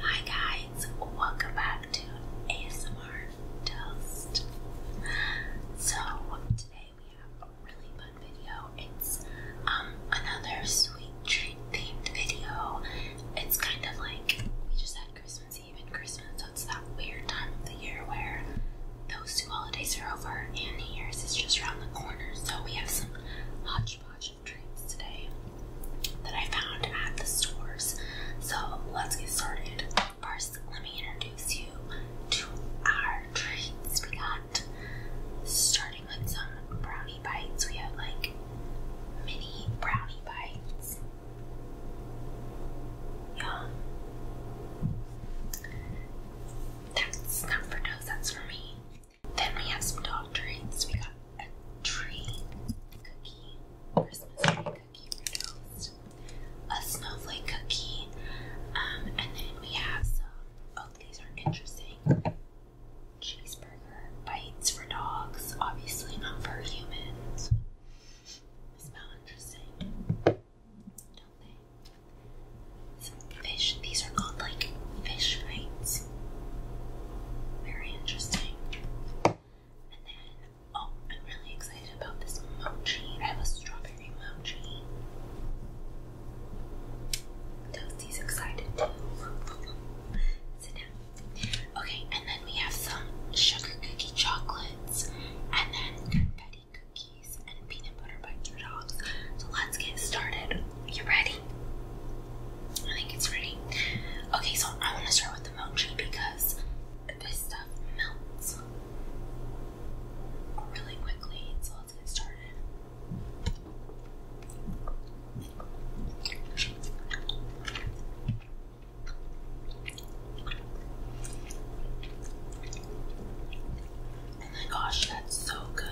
Hi guys, welcome back to ASMR Toast. So today we have a really fun video. It's um another sweet treat themed video. It's kind of like we just had Christmas Eve and Christmas, so it's that weird time of the year where those two holidays are over and New Year's is just around the corner. So we have some hodgepodge matcha today that I found at the stores. So let's get started. First, let me introduce you to our treats we got. Starting with some brownie bites, we have like mini brownie bites. Yum. That's not for toes, that's for me. Then we have some dog treats. We got a tree cookie, Christmas cookie a snowflake cookie, um, and then we have some. Oh, these are interesting. Cheeseburger bites for dogs, obviously not for humans. They smell interesting, don't they? fish. These are called like fish bites. Very interesting. And then, oh, I'm really excited about this mochi. I have a strawberry mochi. Toasty's excited too. Sit down. Okay, and then we have some sugar cookie chocolates, and then confetti cookies, and peanut so let's get started. You ready? I think it's ready. Okay, so I want to start with the mochi because this stuff melts really quickly. So let's get started. Oh my gosh, that's so good.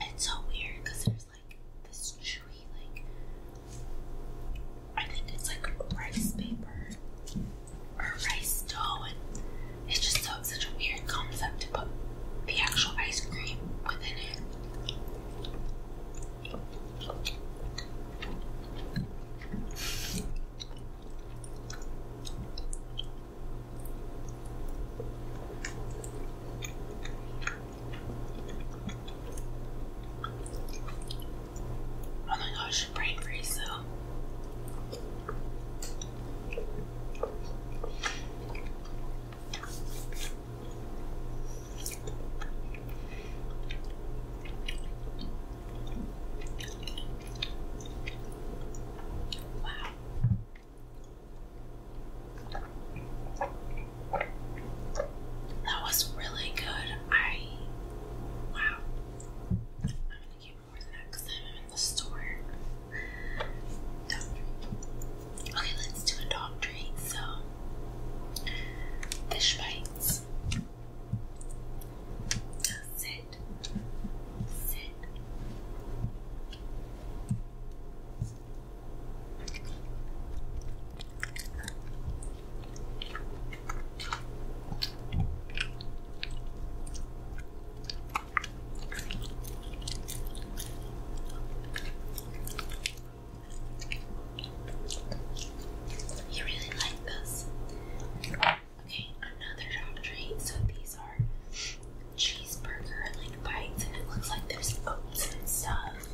It's so weird because there's like this chewy, like, I think it's like rice paper or rice dough, and it's just so, such a weird concept the actual ice cream within it. Oh my gosh, brain freeze though. Wow. That was really good. I wow. I'm gonna get more the next time I'm in the store. Okay, let's do a dog treat. So, fish bites. Sit. Sit. You really like this. Okay, another dog treat. So these are cheeseburger like bites, and it looks like there's oats and stuff.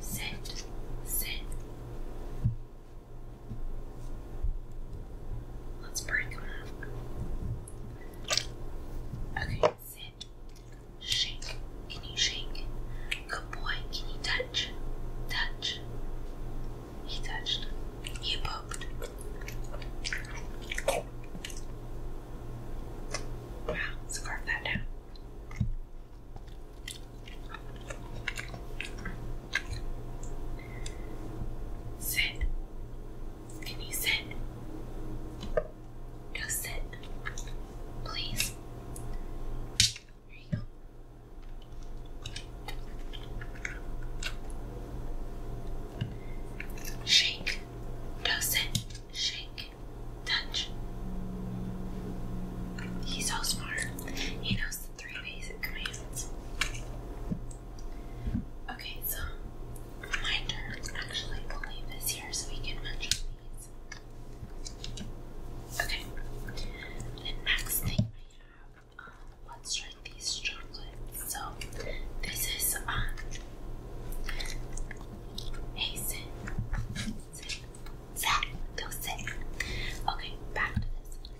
Sit, sit, Let's break them up. Okay, sit. Shake. Can you shake? Good boy. Can you touch? Touch. He touched. You poked. Wow, scarf that down. Sit. Can you sit? Go sit. Please. Here you go. Shake. Go sit. Shake. Touch. He's so smart. He knows three basic commands. Okay, so my turn. Actually, we leave this here so we can mention these. Okay. The next thing I have, uh, let's try these chocolates. So this is um Hey Sit. Sit. Sit. Go sit. Okay, back to this.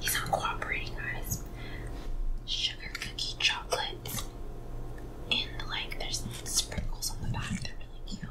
He's not cooperating, guys. Sugar cookie chocolate. And like, there's sprinkles on the back. They're really cute.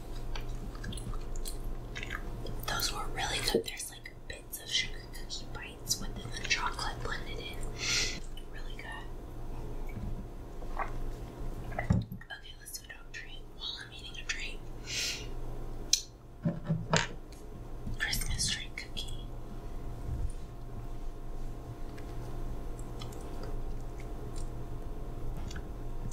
Those were really good. There's like bits of sugar cookie bites within the chocolate blended in. Really good. Okay, let's do a dog while I'm eating a treat. Christmas tree cookie.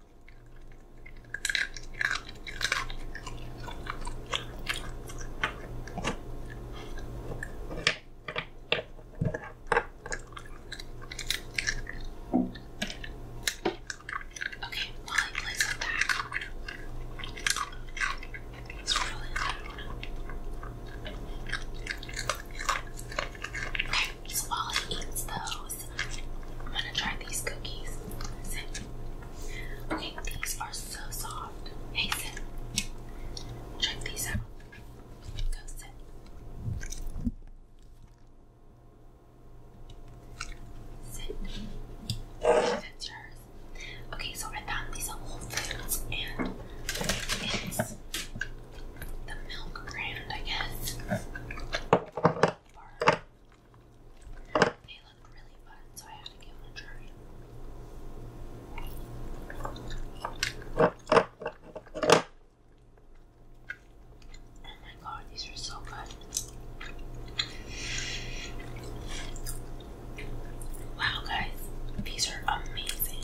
Okay, while he plays with that, it's really good. Okay, so while he eats those, I'm gonna try these cookies. Okay, these are so soft. Hey, sit. Check these out. Go sit. That's yours. Okay, so I found these at Whole and it's the milk brand, I guess. They looked really fun, so I had to give them a try. Oh my god, these are so good. Wow, guys, these are amazing.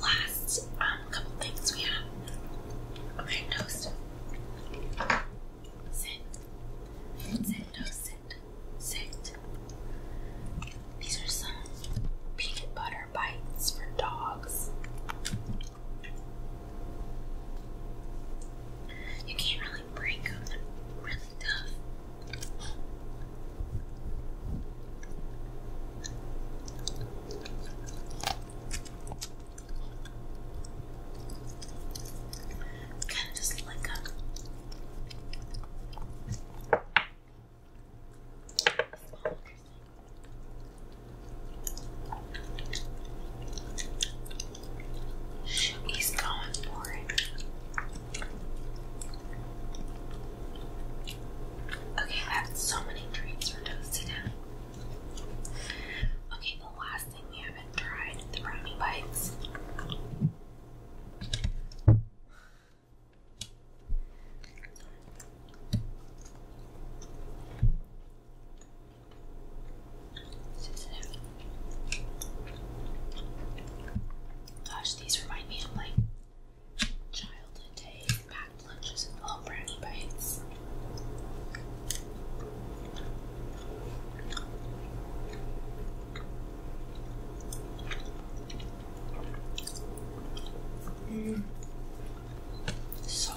Last um, couple things we have. Okay, toast. Sit. Sit, toast, sit. Sit. These are some peanut butter bites for dogs. You can't really would break them really tough. Kind of just like a small He's going for it. Okay, that's so many treats for toasted now. Okay, the last thing we haven't tried the brownie bites. Gosh, these remind me of like childhood days, packed lunches, and little brownie bites. Mm. So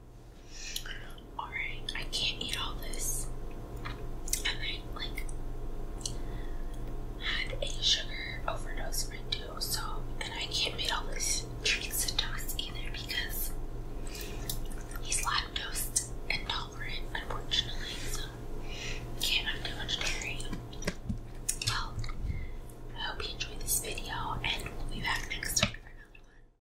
Alright, I can't eat all this. And I like had a sugar overdose or two, so and I can't eat all this treats and toast either because he's lactose intolerant, unfortunately, so can't have too much dairy. Well, I hope you enjoyed this video and we'll be back next time for another one.